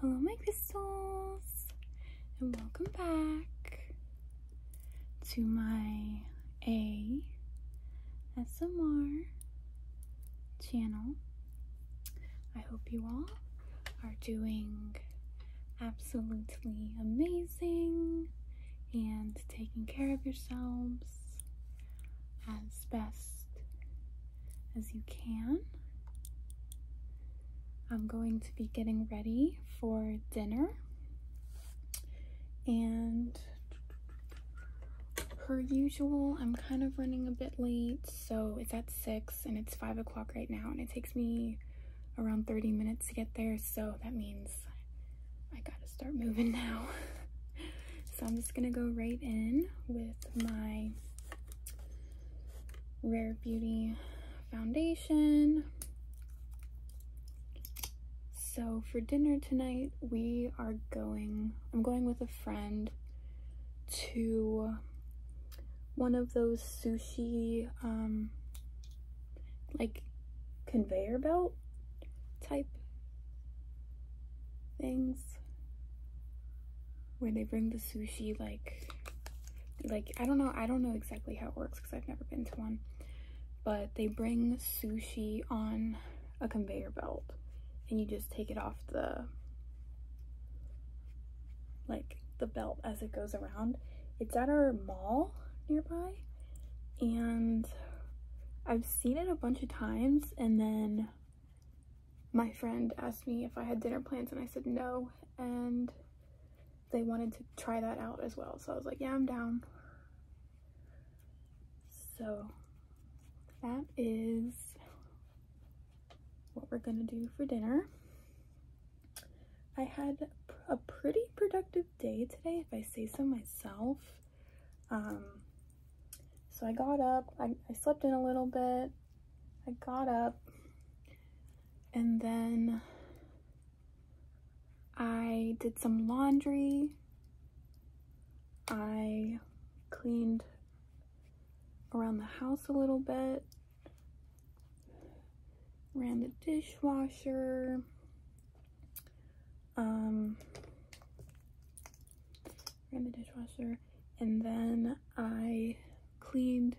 Hello, my crystals, and welcome back to my A SMR channel. I hope you all are doing absolutely amazing and taking care of yourselves as best as you can. I'm going to be getting ready for dinner and per usual I'm kind of running a bit late so it's at 6 and it's 5 o'clock right now and it takes me around 30 minutes to get there so that means I gotta start moving now. so I'm just gonna go right in with my Rare Beauty foundation. So for dinner tonight, we are going, I'm going with a friend to one of those sushi, um, like conveyor belt type things where they bring the sushi like like I don't know I don't know exactly how it works because I've never been to one but they bring sushi on a conveyor belt and you just take it off the like the belt as it goes around it's at our mall nearby and I've seen it a bunch of times and then my friend asked me if I had dinner plans and I said no and they wanted to try that out as well so I was like yeah I'm down so that is what we're gonna do for dinner I had a pretty productive day today if I say so myself um, so I got up, I, slept in a little bit, I got up, and then I did some laundry. I cleaned around the house a little bit, ran the dishwasher, um, ran the dishwasher, and then I cleaned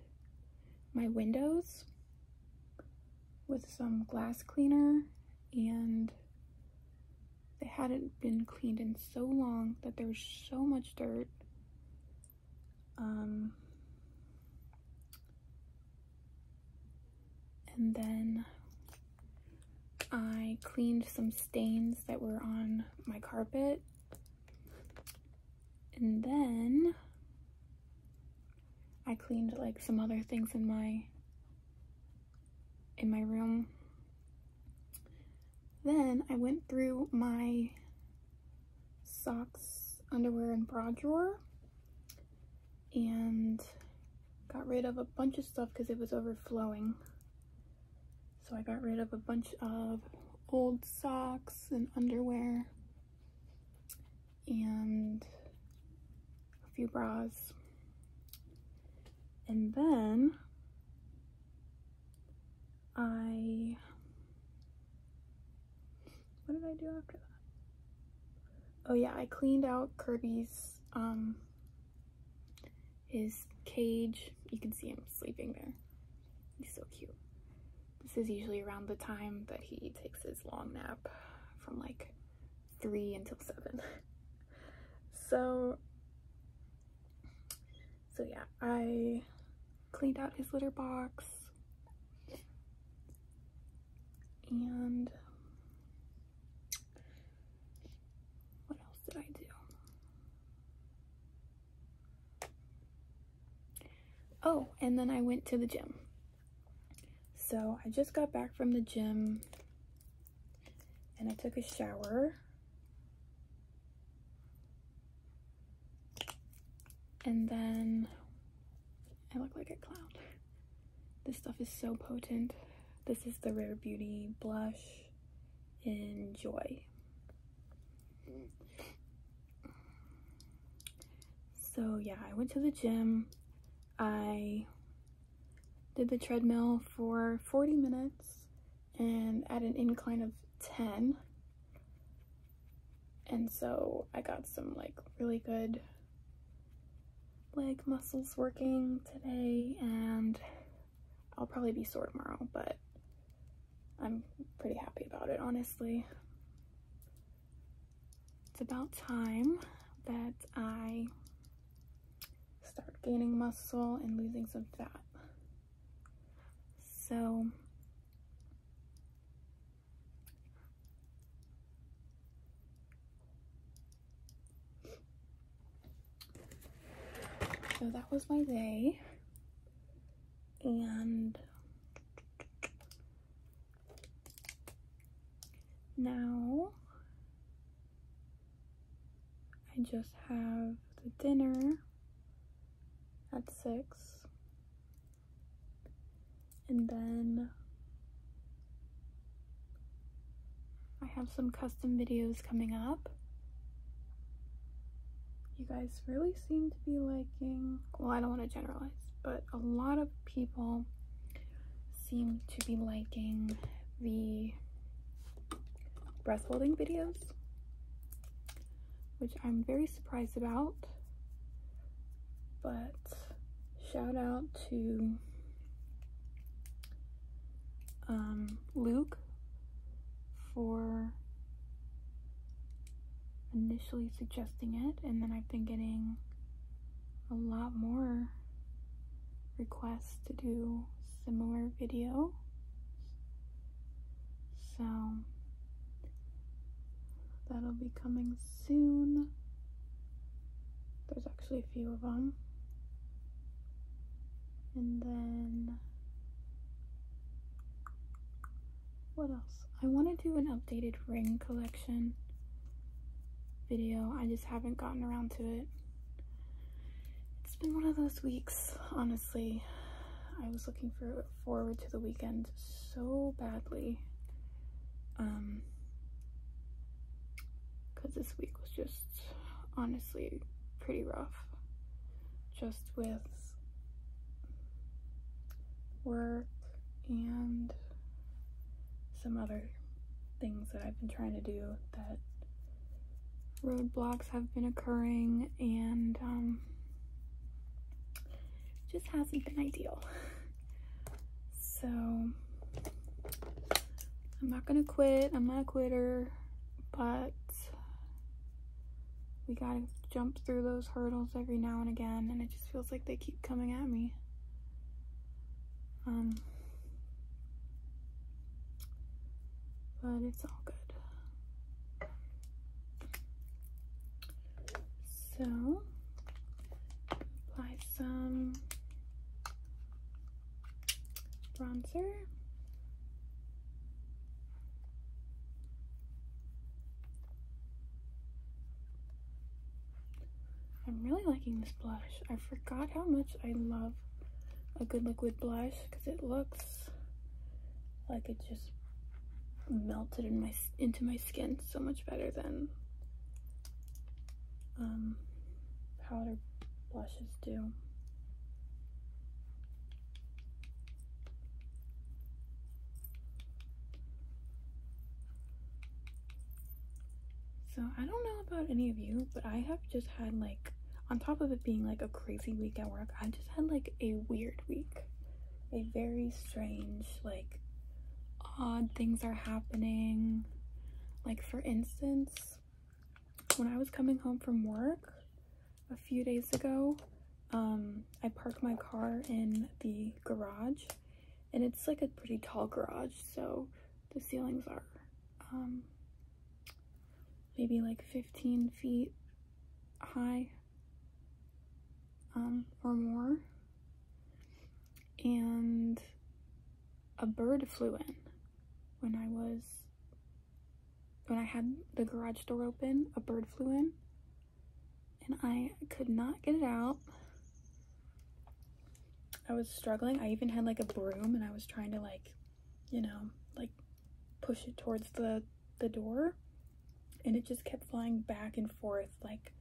my windows with some glass cleaner and they hadn't been cleaned in so long that there was so much dirt. Um, and then I cleaned some stains that were on my carpet. And then I cleaned like some other things in my in my room. Then I went through my socks, underwear, and bra drawer and got rid of a bunch of stuff because it was overflowing. So I got rid of a bunch of old socks and underwear and a few bras. And then I, what did I do after that? Oh yeah, I cleaned out Kirby's um, his cage. You can see him sleeping there. He's so cute. This is usually around the time that he takes his long nap from like 3 until 7. so, so yeah, I cleaned out his litter box and what else did I do? Oh, and then I went to the gym. So I just got back from the gym and I took a shower. And then I look like a clown. This stuff is so potent. This is the Rare Beauty blush enjoy. So yeah, I went to the gym. I did the treadmill for 40 minutes and at an incline of 10. And so I got some like really good leg muscles working today and I'll probably be sore tomorrow, but I'm pretty happy about it, honestly. It's about time that I start gaining muscle and losing some fat. So so that was my day. And now I just have the dinner at 6 and then I have some custom videos coming up. You guys really seem to be liking, well, I don't want to generalize, but a lot of people seem to be liking the breath holding videos, which I'm very surprised about, but shout out to um, Luke for initially suggesting it, and then I've been getting a lot more requests to do similar video. So that'll be coming soon. There's actually a few of them. And then what else? I want to do an updated ring collection video. I just haven't gotten around to it. It's been one of those weeks, honestly. I was looking for forward to the weekend so badly. Um cuz this week was just honestly pretty rough just with work and some other things that I've been trying to do that roadblocks have been occurring and um, just hasn't been ideal. So I'm not gonna quit. I'm not a quitter but we gotta jump through those hurdles every now and again and it just feels like they keep coming at me um but it's all good so apply some bronzer. I'm really liking this blush. I forgot how much I love a good liquid blush because it looks like it just melted in my into my skin so much better than um, powder blushes do. So I don't know about any of you, but I have just had like, on top of it being like a crazy week at work, I just had like a weird week. A very strange, like odd things are happening. Like for instance, when I was coming home from work a few days ago, um, I parked my car in the garage and it's like a pretty tall garage. So the ceilings are um, maybe like 15 feet high um, or more. And a bird flew in when I was when I had the garage door open, a bird flew in and I could not get it out. I was struggling. I even had like a broom and I was trying to like, you know, like push it towards the, the door and it just kept flying back and forth like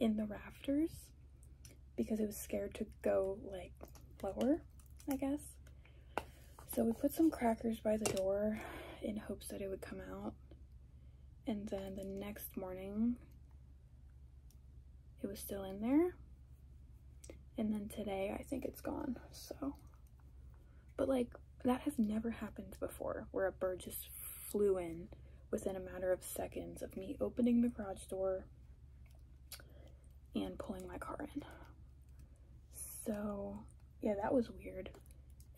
in the rafters because it was scared to go like lower, I guess. So we put some crackers by the door in hopes that it would come out. And then the next morning, it was still in there. And then today, I think it's gone, so. But like, that has never happened before, where a bird just flew in within a matter of seconds of me opening the garage door and pulling my car in. So yeah, that was weird.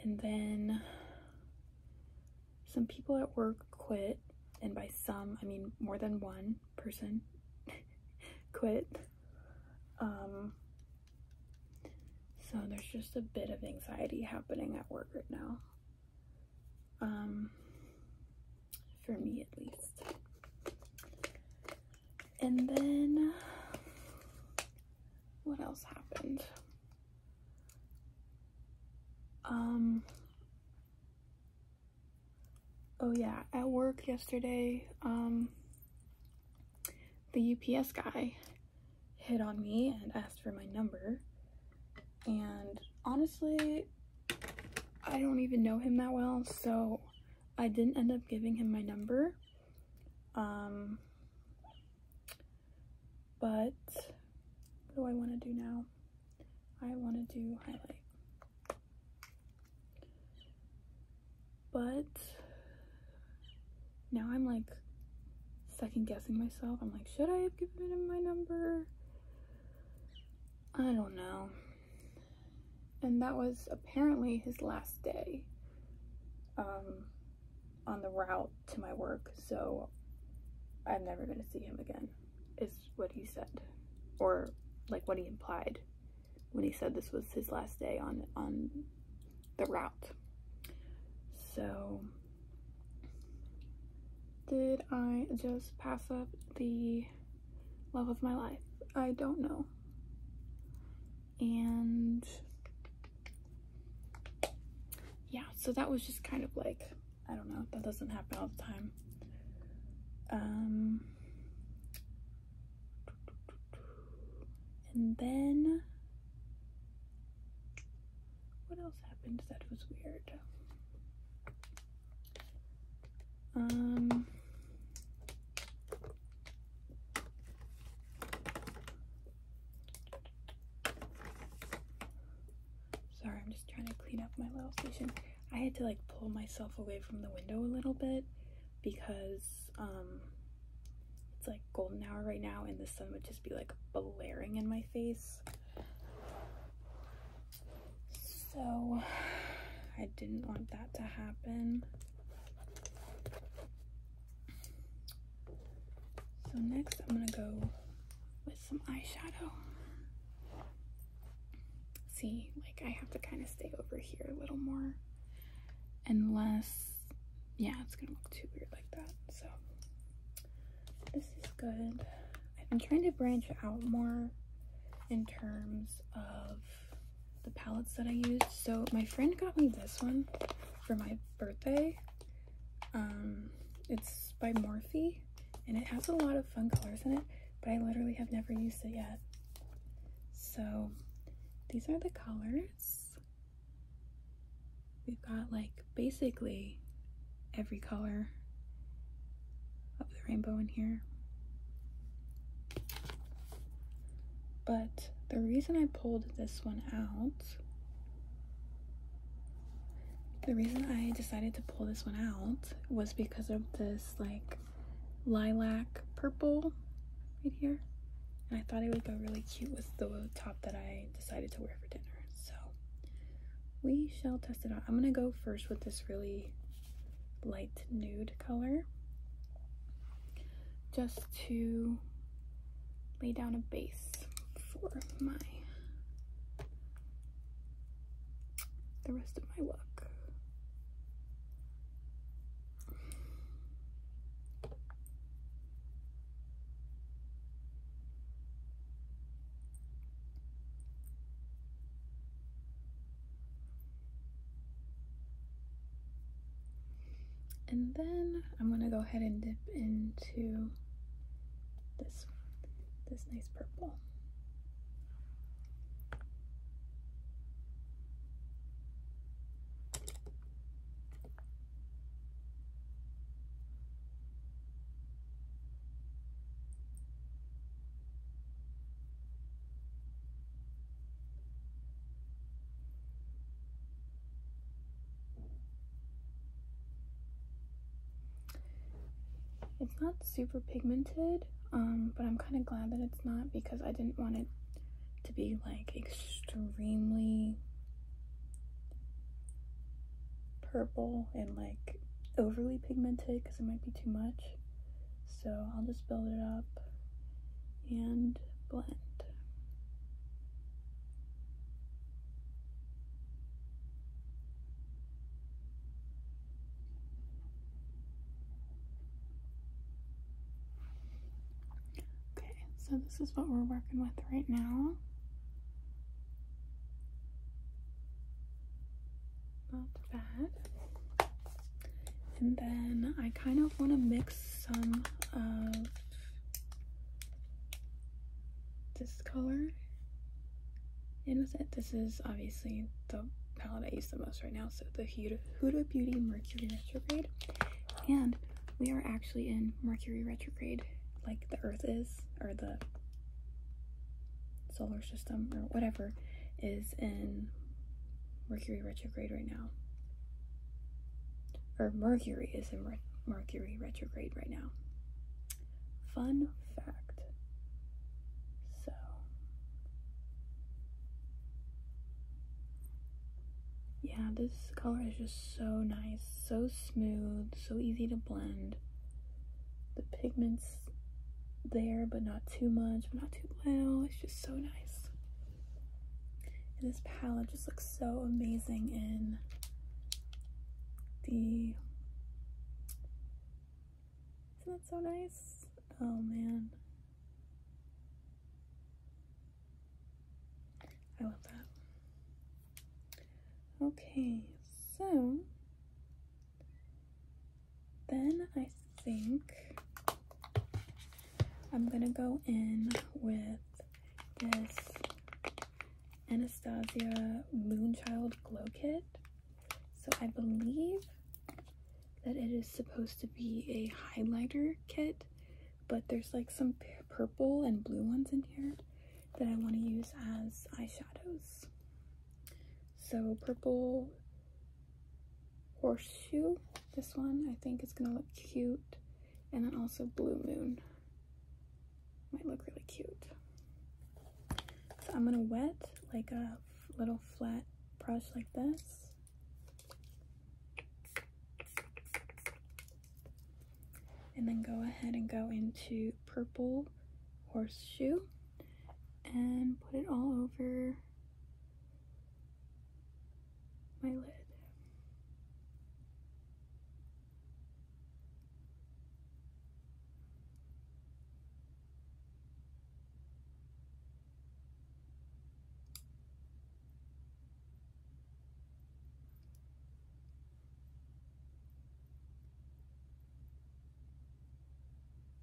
And then some people at work quit, and by some, I mean more than one person quit. Um, so there's just a bit of anxiety happening at work right now. Um, for me at least. And then what else happened? Um Oh yeah, at work yesterday, um the UPS guy hit on me and asked for my number. And honestly, I don't even know him that well, so I didn't end up giving him my number. Um, but what do I want to do now? I want to do highlight. But now I'm like second guessing myself. I'm like, should I have given him my number? I don't know. And that was apparently his last day um, on the route to my work. So I'm never going to see him again, is what he said. Or like what he implied when he said this was his last day on, on the route. So did I just pass up the love of my life? I don't know and yeah, so that was just kind of like, I don't know, that doesn't happen all the time. Um, and then, what else happened that was weird? Um, Sorry, I'm just trying to clean up my little station. I had to like pull myself away from the window a little bit because um it's like golden hour right now and the sun would just be like blaring in my face. So I didn't want that to happen. So next I'm going to go with some eyeshadow. See, like I have to kind of stay over here a little more. Unless, yeah, it's going to look too weird like that. So this is good. I've been trying to branch out more in terms of the palettes that I used. So my friend got me this one for my birthday. Um, it's by Morphe and it has a lot of fun colors in it, but I literally have never used it yet. So these are the colors. We've got like basically every color of the rainbow in here. But the reason I pulled this one out, the reason I decided to pull this one out was because of this like lilac purple right here. And I thought it would go really cute with the top that I decided to wear for dinner. So we shall test it out. I'm going to go first with this really light nude color just to lay down a base for my the rest of my look. And then I'm going to go ahead and dip into this, this nice purple. It's not super pigmented, um, but I'm kind of glad that it's not because I didn't want it to be like extremely purple and like overly pigmented because it might be too much. So I'll just build it up and blend. Okay, so this is what we're working with right now. Not bad. And then I kind of want to mix some of this color And with it. This is obviously the palette I use the most right now, so the Huda, Huda Beauty Mercury Retrograde. And we are actually in Mercury Retrograde, like the Earth is, or the solar system, or whatever, is in Mercury retrograde right now. Or Mercury is in Mercury retrograde right now. Fun fact. So. Yeah, this color is just so nice, so smooth, so easy to blend. The pigments there, but not too much, not too little. It's just so nice. And this palette just looks so amazing in the isn't that so nice? Oh man. I love that. Okay, so then I think I'm gonna go in with this Anastasia Moonchild Glow Kit. So I believe that it is supposed to be a highlighter kit, but there's like some purple and blue ones in here that I want to use as eyeshadows. So purple horseshoe. This one I think is gonna look cute. And then also blue moon. Might look really cute. So I'm gonna wet like a little flat brush like this. And then go ahead and go into purple horseshoe and put it all over my lid.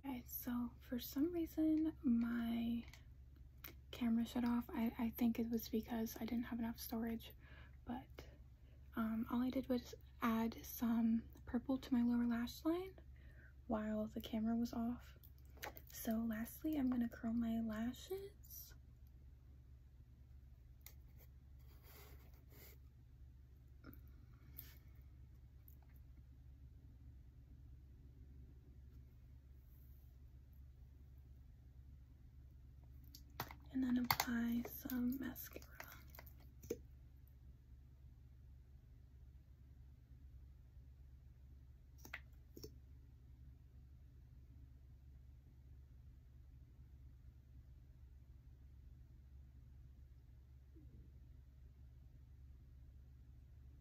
Okay, so for some reason my camera shut off. I, I think it was because I didn't have enough storage, but um, all I did was add some purple to my lower lash line while the camera was off. So lastly, I'm going to curl my lashes and then apply some mascara.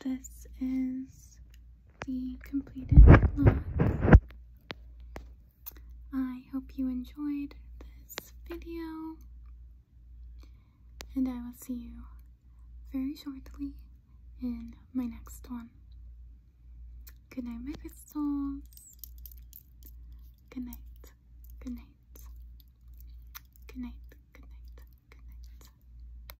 This is the completed look. I hope you enjoyed this video and I will see you very shortly in my next one. Good night, my crystals. Good night. Good night. Good night. Good night. Good night.